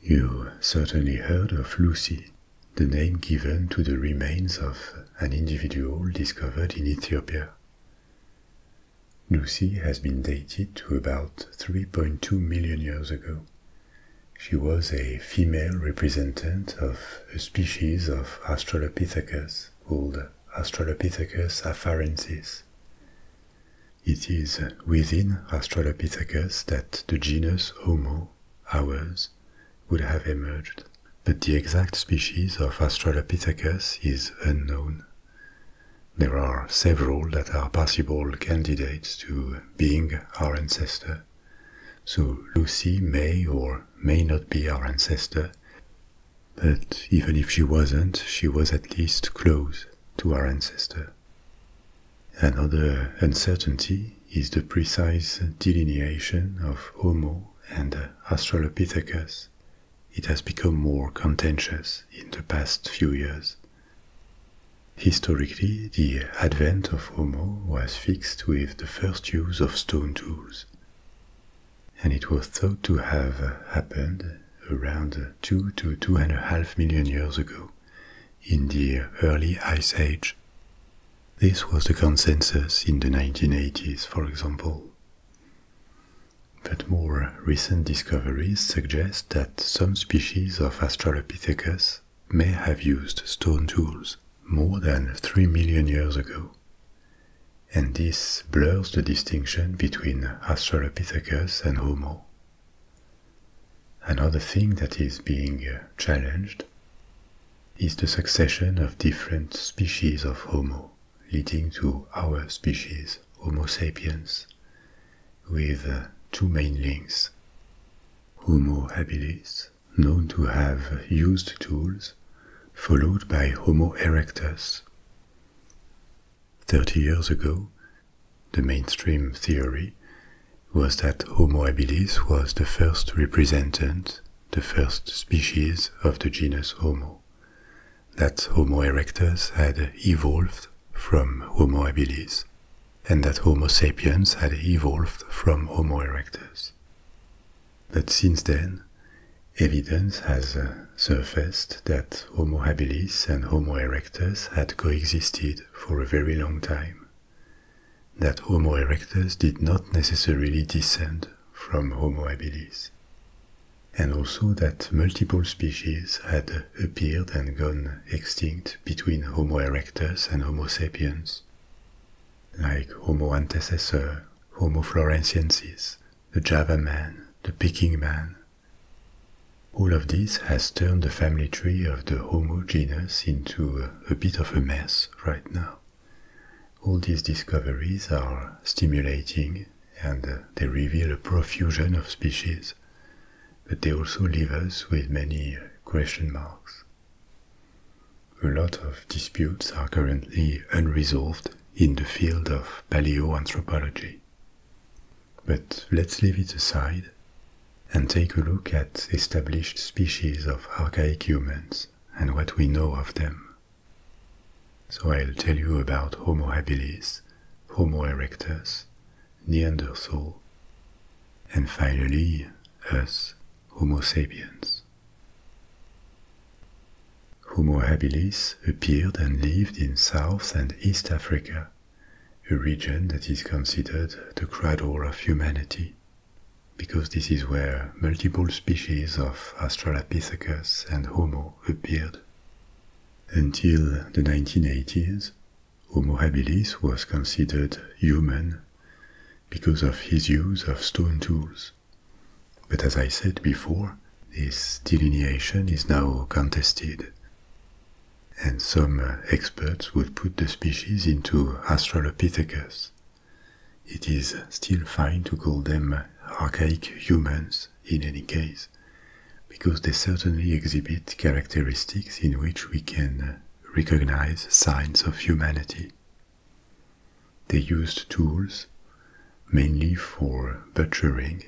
You certainly heard of Lucy, the name given to the remains of an individual discovered in Ethiopia. Lucy has been dated to about 3.2 million years ago. She was a female representative of a species of Australopithecus called Australopithecus afarensis. It is within Australopithecus that the genus Homo, ours, would have emerged, but the exact species of Australopithecus is unknown. There are several that are possible candidates to being our ancestor, so Lucy may or may not be our ancestor, but even if she wasn't, she was at least close to our ancestor. Another uncertainty is the precise delineation of Homo and Australopithecus. It has become more contentious in the past few years. Historically, the advent of Homo was fixed with the first use of stone tools and it was thought to have happened around 2 to 2.5 million years ago in the early Ice Age. This was the consensus in the 1980s, for example. But more recent discoveries suggest that some species of Australopithecus may have used stone tools more than 3 million years ago and this blurs the distinction between Australopithecus and Homo. Another thing that is being uh, challenged is the succession of different species of Homo, leading to our species, Homo sapiens, with uh, two main links. Homo habilis, known to have used tools, followed by Homo erectus. Thirty years ago, the mainstream theory was that Homo habilis was the first representant, the first species of the genus Homo, that Homo erectus had evolved from Homo habilis, and that Homo sapiens had evolved from Homo erectus. But since then, evidence has uh, surfaced that Homo habilis and Homo erectus had coexisted for a very long time. That Homo erectus did not necessarily descend from Homo habilis. And also that multiple species had appeared and gone extinct between Homo erectus and Homo sapiens, like Homo antecessor, Homo floresiensis, the Java man, the Peking man. All of this has turned the family tree of the Homo genus into a bit of a mess right now. All these discoveries are stimulating and uh, they reveal a profusion of species, but they also leave us with many question marks. A lot of disputes are currently unresolved in the field of paleoanthropology. But let's leave it aside and take a look at established species of archaic humans and what we know of them. So I'll tell you about Homo habilis, Homo erectus, Neanderthal, and finally us, Homo sapiens. Homo habilis appeared and lived in South and East Africa, a region that is considered the cradle of humanity, because this is where multiple species of Australopithecus and Homo appeared. Until the 1980s, Homo habilis was considered human because of his use of stone tools, but as I said before, this delineation is now contested. And some uh, experts would put the species into Australopithecus. It is still fine to call them uh, archaic humans in any case, because they certainly exhibit characteristics in which we can uh, recognize signs of humanity. They used tools mainly for butchering,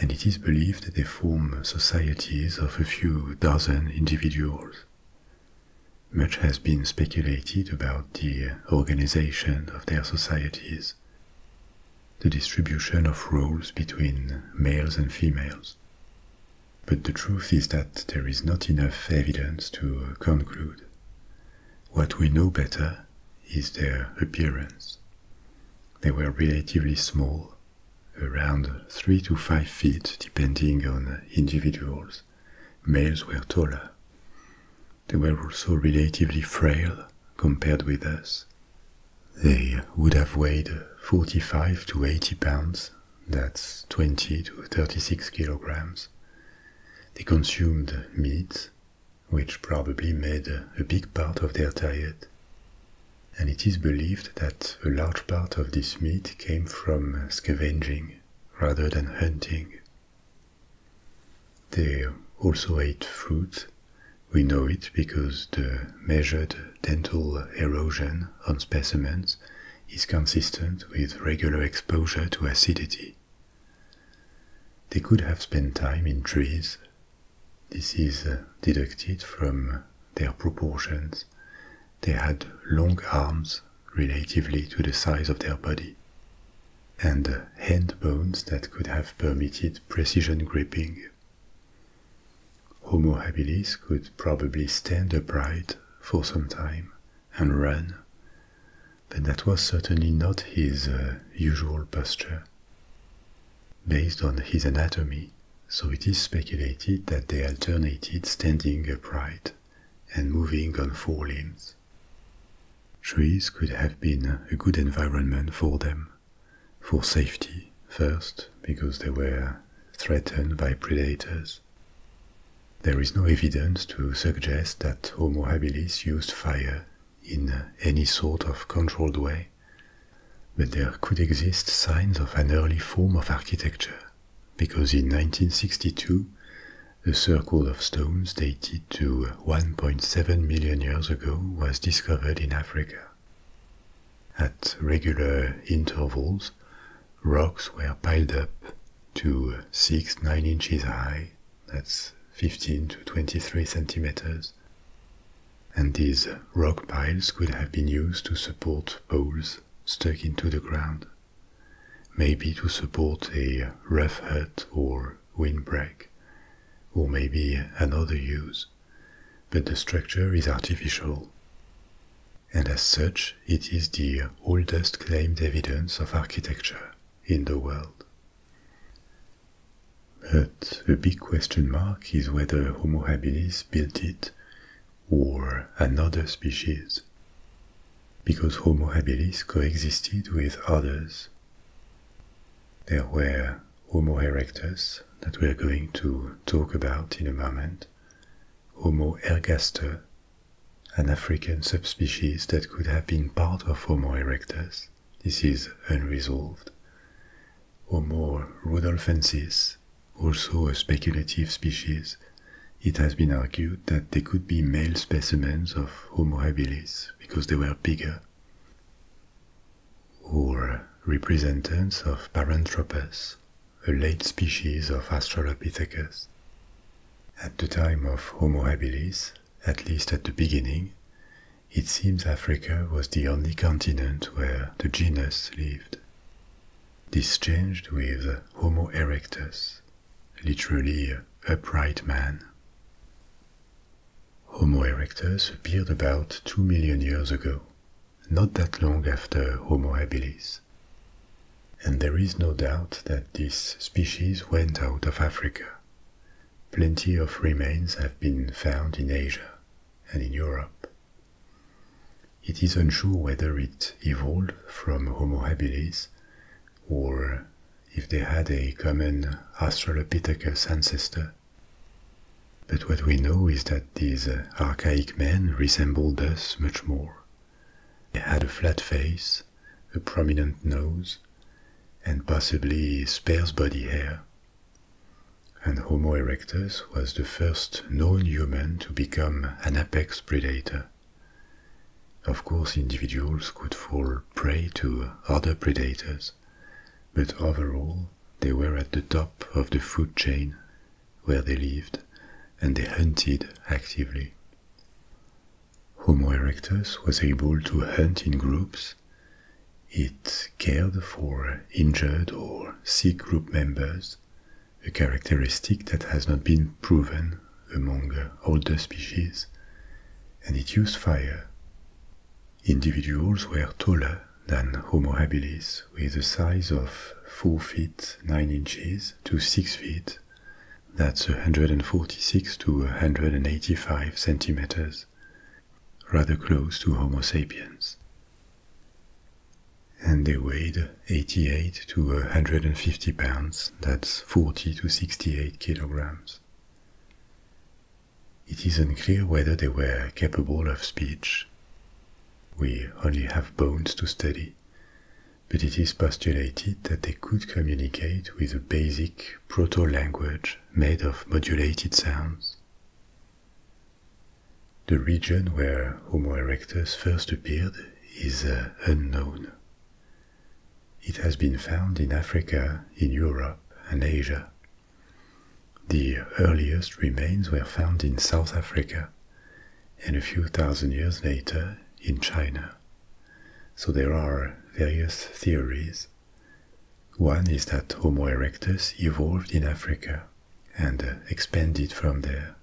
and it is believed that they form societies of a few dozen individuals. Much has been speculated about the organization of their societies, the distribution of roles between males and females. But the truth is that there is not enough evidence to conclude. What we know better is their appearance. They were relatively small, around 3 to 5 feet depending on individuals. Males were taller. They were also relatively frail compared with us. They would have weighed 45 to 80 pounds, that's 20 to 36 kilograms. They consumed meat, which probably made a big part of their diet. And it is believed that a large part of this meat came from scavenging rather than hunting. They also ate fruit. We know it because the measured dental erosion on specimens is consistent with regular exposure to acidity. They could have spent time in trees this is uh, deducted from their proportions. They had long arms relatively to the size of their body, and uh, hand bones that could have permitted precision gripping. Homo habilis could probably stand upright for some time and run, but that was certainly not his uh, usual posture. Based on his anatomy, so it is speculated that they alternated standing upright and moving on four limbs. Trees could have been a good environment for them, for safety first, because they were threatened by predators. There is no evidence to suggest that Homo habilis used fire in any sort of controlled way, but there could exist signs of an early form of architecture, because in 1962 a circle of stones dated to 1.7 million years ago was discovered in Africa. At regular intervals, rocks were piled up to 6 9 inches high that's 15 to 23 centimeters. And these rock piles could have been used to support poles stuck into the ground, maybe to support a rough hut or windbreak, or maybe another use, but the structure is artificial. And as such, it is the oldest claimed evidence of architecture in the world. But the big question mark is whether Homo habilis built it or another species, because Homo habilis coexisted with others. There were Homo erectus that we're going to talk about in a moment, Homo ergaster, an African subspecies that could have been part of Homo erectus, this is unresolved. Or more, Rudolfensis, also a speculative species, it has been argued that they could be male specimens of Homo habilis because they were bigger. Or representatives of Paranthropus, a late species of Australopithecus. At the time of Homo habilis, at least at the beginning, it seems Africa was the only continent where the genus lived. This changed with Homo erectus, literally upright man. Homo erectus appeared about 2 million years ago, not that long after Homo habilis. And there is no doubt that this species went out of Africa Plenty of remains have been found in Asia and in Europe. It is unsure whether it evolved from Homo habilis or if they had a common Australopithecus ancestor. But what we know is that these archaic men resembled us much more. They had a flat face, a prominent nose, and possibly sparse body hair and Homo erectus was the first known human to become an apex predator. Of course, individuals could fall prey to other predators, but overall, they were at the top of the food chain where they lived and they hunted actively. Homo erectus was able to hunt in groups it cared for injured or sick group members, a characteristic that has not been proven among older species, and it used fire. Individuals were taller than Homo habilis with a size of 4 feet 9 inches to 6 feet, that's 146 to 185 centimeters rather close to Homo sapiens. And they weighed 88 to 150 pounds, that's 40 to 68 kilograms. It is unclear whether they were capable of speech. We only have bones to study, but it is postulated that they could communicate with a basic proto-language made of modulated sounds. The region where Homo erectus first appeared is uh, unknown. It has been found in Africa, in Europe, and Asia. The earliest remains were found in South Africa and a few thousand years later in China. So there are various theories one is that Homo erectus evolved in Africa and uh, expanded from there.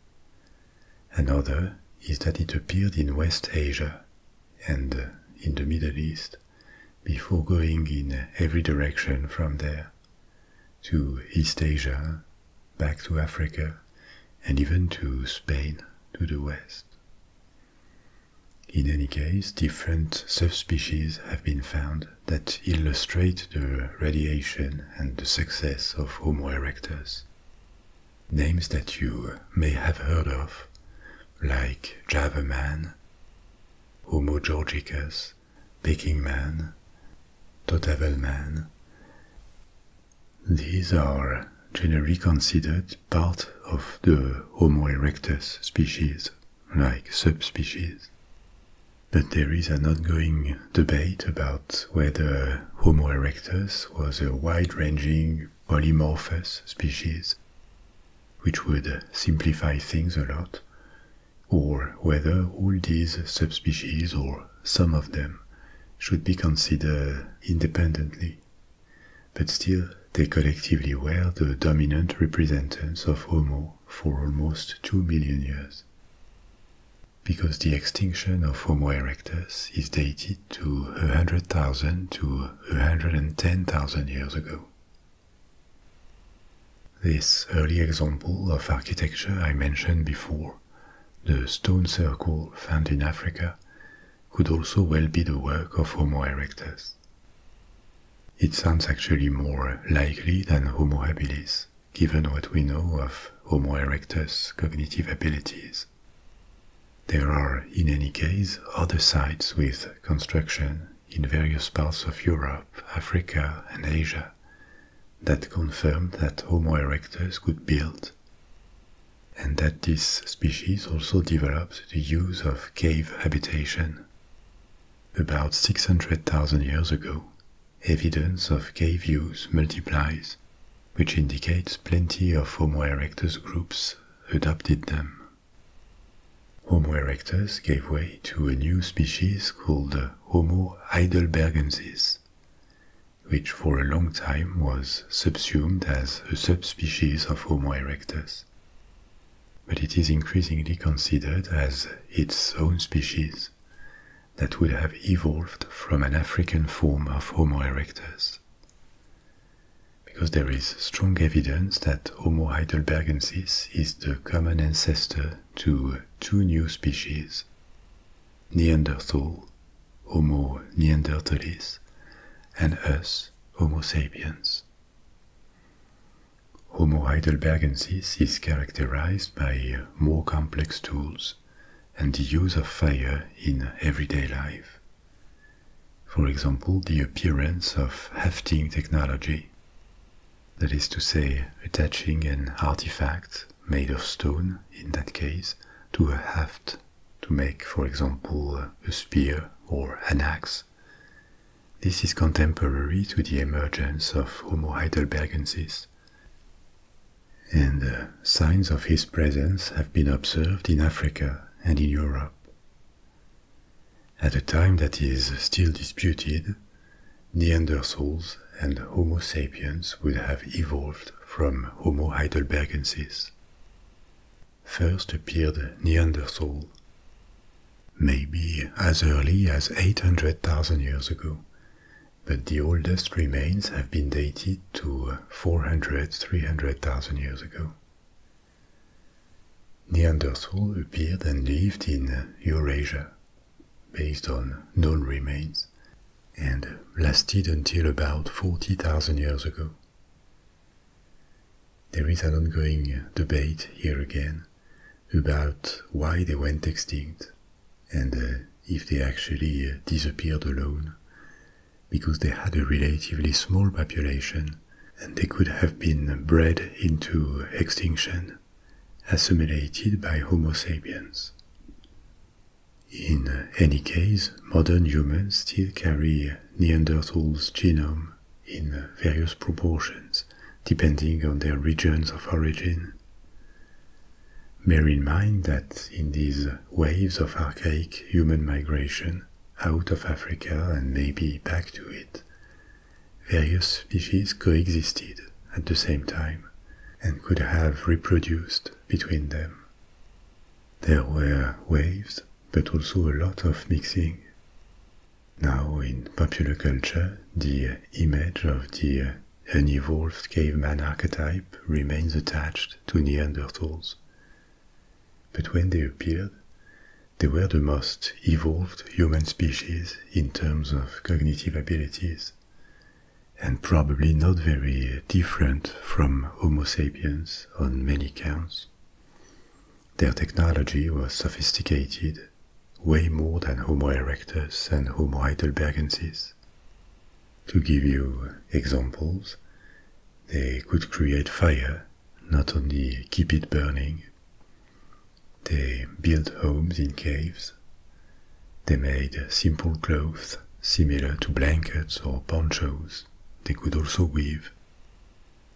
Another is that it appeared in West Asia and uh, in the Middle East before going in every direction from there to East Asia, back to Africa, and even to Spain to the west. In any case, different subspecies have been found that illustrate the radiation and the success of Homo erectus. Names that you may have heard of, like Java man, Homo georgicus, Peking man, Totavel man. These are generally considered part of the Homo erectus species like subspecies. But there is an ongoing debate about whether Homo erectus was a wide-ranging polymorphous species, which would simplify things a lot, or whether all these subspecies or some of them should be considered independently, but still they collectively were the dominant representatives of Homo for almost 2 million years. Because the extinction of Homo erectus is dated to 100,000 to 110,000 years ago. This early example of architecture I mentioned before, the stone circle found in Africa, could also well be the work of Homo erectus. It sounds actually more likely than Homo habilis, given what we know of Homo erectus' cognitive abilities. There are, in any case, other sites with construction in various parts of Europe, Africa, and Asia that confirm that Homo erectus could build, and that this species also developed the use of cave habitation. About 600,000 years ago, evidence of cave use multiplies, which indicates plenty of Homo erectus groups adopted them. Homo erectus gave way to a new species called Homo heidelbergensis, which for a long time was subsumed as a subspecies of Homo erectus but it is increasingly considered as its own species that would have evolved from an African form of Homo erectus. Because there is strong evidence that Homo heidelbergensis is the common ancestor to two new species Neanderthal, Homo neanderthalis, and us, Homo sapiens. Homo heidelbergensis is characterized by more complex tools and the use of fire in everyday life. For example, the appearance of hafting technology, that is to say, attaching an artifact made of stone, in that case, to a haft to make, for example, a spear or an axe this is contemporary to the emergence of Homo heidelbergensis. And uh, signs of his presence have been observed in Africa and in Europe. At a time that is still disputed, Neanderthals and Homo sapiens would have evolved from Homo heidelbergensis. First appeared Neanderthal, maybe as early as 800,000 years ago, but the oldest remains have been dated to 400 300,000 years ago. Neanderthal appeared and lived in Eurasia, based on known remains, and lasted until about 40,000 years ago. There is an ongoing debate here again about why they went extinct and uh, if they actually uh, disappeared alone, because they had a relatively small population and they could have been bred into extinction, assimilated by Homo sapiens. In uh, any case, modern humans still carry Neanderthals' genome in various proportions depending on their regions of origin. Bear in mind that in these waves of archaic human migration out of Africa and maybe back to it, various species coexisted at the same time and could have reproduced between them. There were waves, but also a lot of mixing. Now, in popular culture, the image of the unevolved caveman archetype remains attached to Neanderthals. But when they appeared, they were the most evolved human species in terms of cognitive abilities, and probably not very different from Homo sapiens on many counts. Their technology was sophisticated way more than Homo erectus and Homo heidelbergensis. To give you examples, they could create fire, not only keep it burning. They built homes in caves. They made simple clothes similar to blankets or ponchos. They could also weave.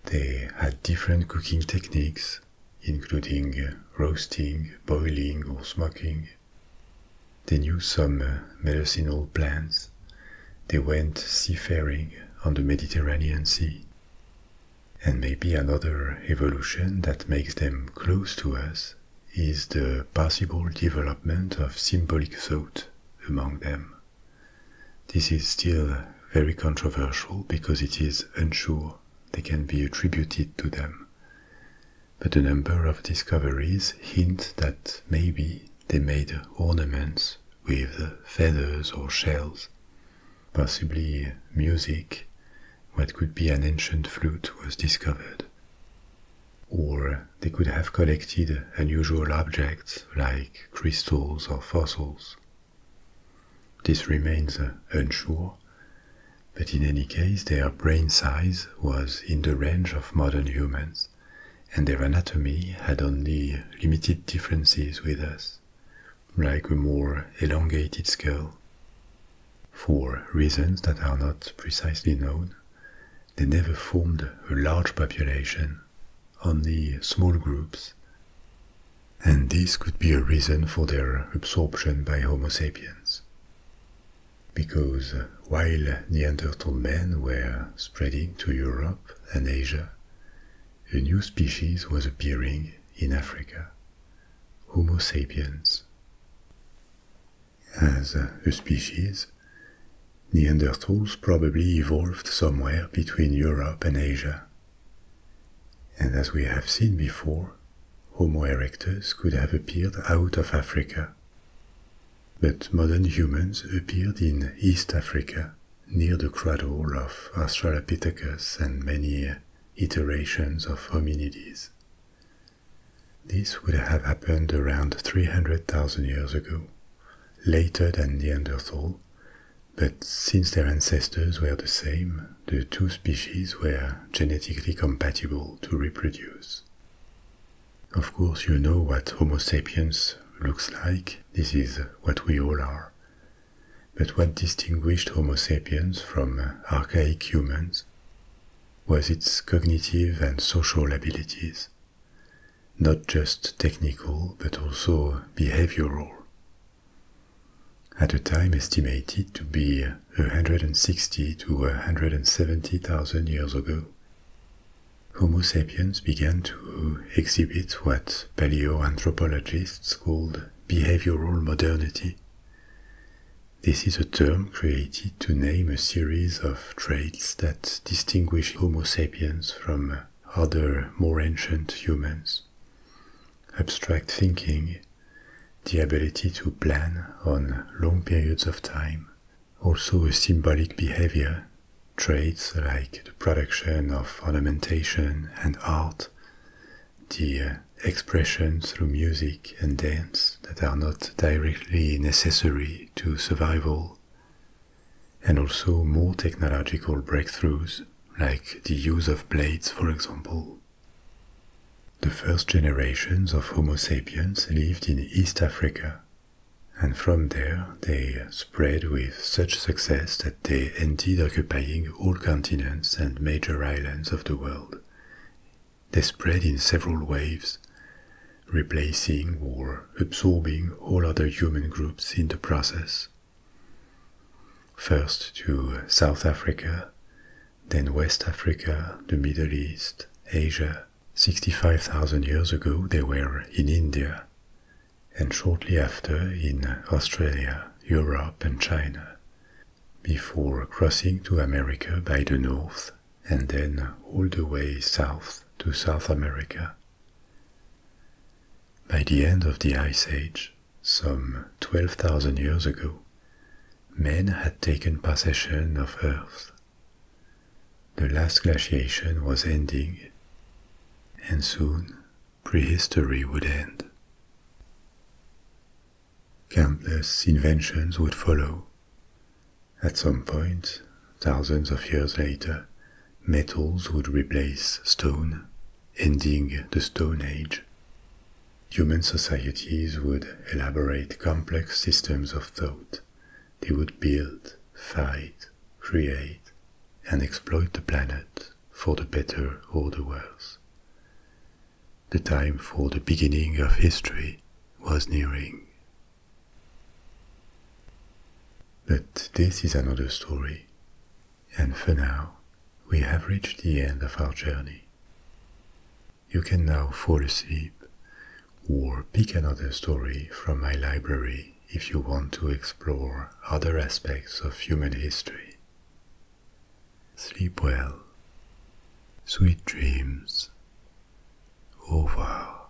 They had different cooking techniques including roasting, boiling, or smoking. They knew some medicinal plants. They went seafaring on the Mediterranean Sea. And maybe another evolution that makes them close to us is the possible development of symbolic thought among them. This is still very controversial because it is unsure they can be attributed to them. But a number of discoveries hint that maybe they made ornaments with feathers or shells, possibly music. What could be an ancient flute was discovered. Or they could have collected unusual objects like crystals or fossils, this remains uh, unsure, but in any case, their brain size was in the range of modern humans, and their anatomy had only limited differences with us, like a more elongated skull. For reasons that are not precisely known, they never formed a large population, only small groups and this could be a reason for their absorption by Homo sapiens. Because uh, while Neanderthal men were spreading to Europe and Asia, a new species was appearing in Africa Homo sapiens. As a species, Neanderthals probably evolved somewhere between Europe and Asia, and as we have seen before, Homo erectus could have appeared out of Africa. But modern humans appeared in East Africa, near the cradle of Australopithecus and many iterations of hominids. This would have happened around 300,000 years ago, later than Neanderthal, but since their ancestors were the same, the two species were genetically compatible to reproduce. Of course, you know what Homo sapiens looks like, this is what we all are. But what distinguished Homo sapiens from archaic humans was its cognitive and social abilities, not just technical but also behavioral. At a time estimated to be 160 to 170,000 years ago, Homo sapiens began to exhibit what paleoanthropologists called behavioral modernity. This is a term created to name a series of traits that distinguish Homo sapiens from other more ancient humans abstract thinking, the ability to plan on long periods of time, also a symbolic behavior, traits like the production of ornamentation and art, the uh, expression through music and dance that are not directly necessary to survival, and also more technological breakthroughs like the use of blades, for example. The first generations of Homo sapiens lived in East Africa, and from there they spread with such success that they ended occupying all continents and major islands of the world. They spread in several waves, replacing or absorbing all other human groups in the process. First to South Africa, then West Africa, the Middle East, Asia. 65,000 years ago, they were in India, and shortly after in Australia, Europe, and China, before crossing to America by the north and then all the way south to South America. By the end of the Ice Age, some 12,000 years ago, men had taken possession of Earth. The last glaciation was ending, and soon prehistory would end. Countless inventions would follow. At some point, thousands of years later, metals would replace stone ending the Stone Age, human societies would elaborate complex systems of thought. They would build, fight, create, and exploit the planet for the better or the worse. The time for the beginning of history was nearing. But this is another story, and for now, we have reached the end of our journey. You can now fall asleep or pick another story from my library if you want to explore other aspects of human history. Sleep well. Sweet dreams. Au revoir.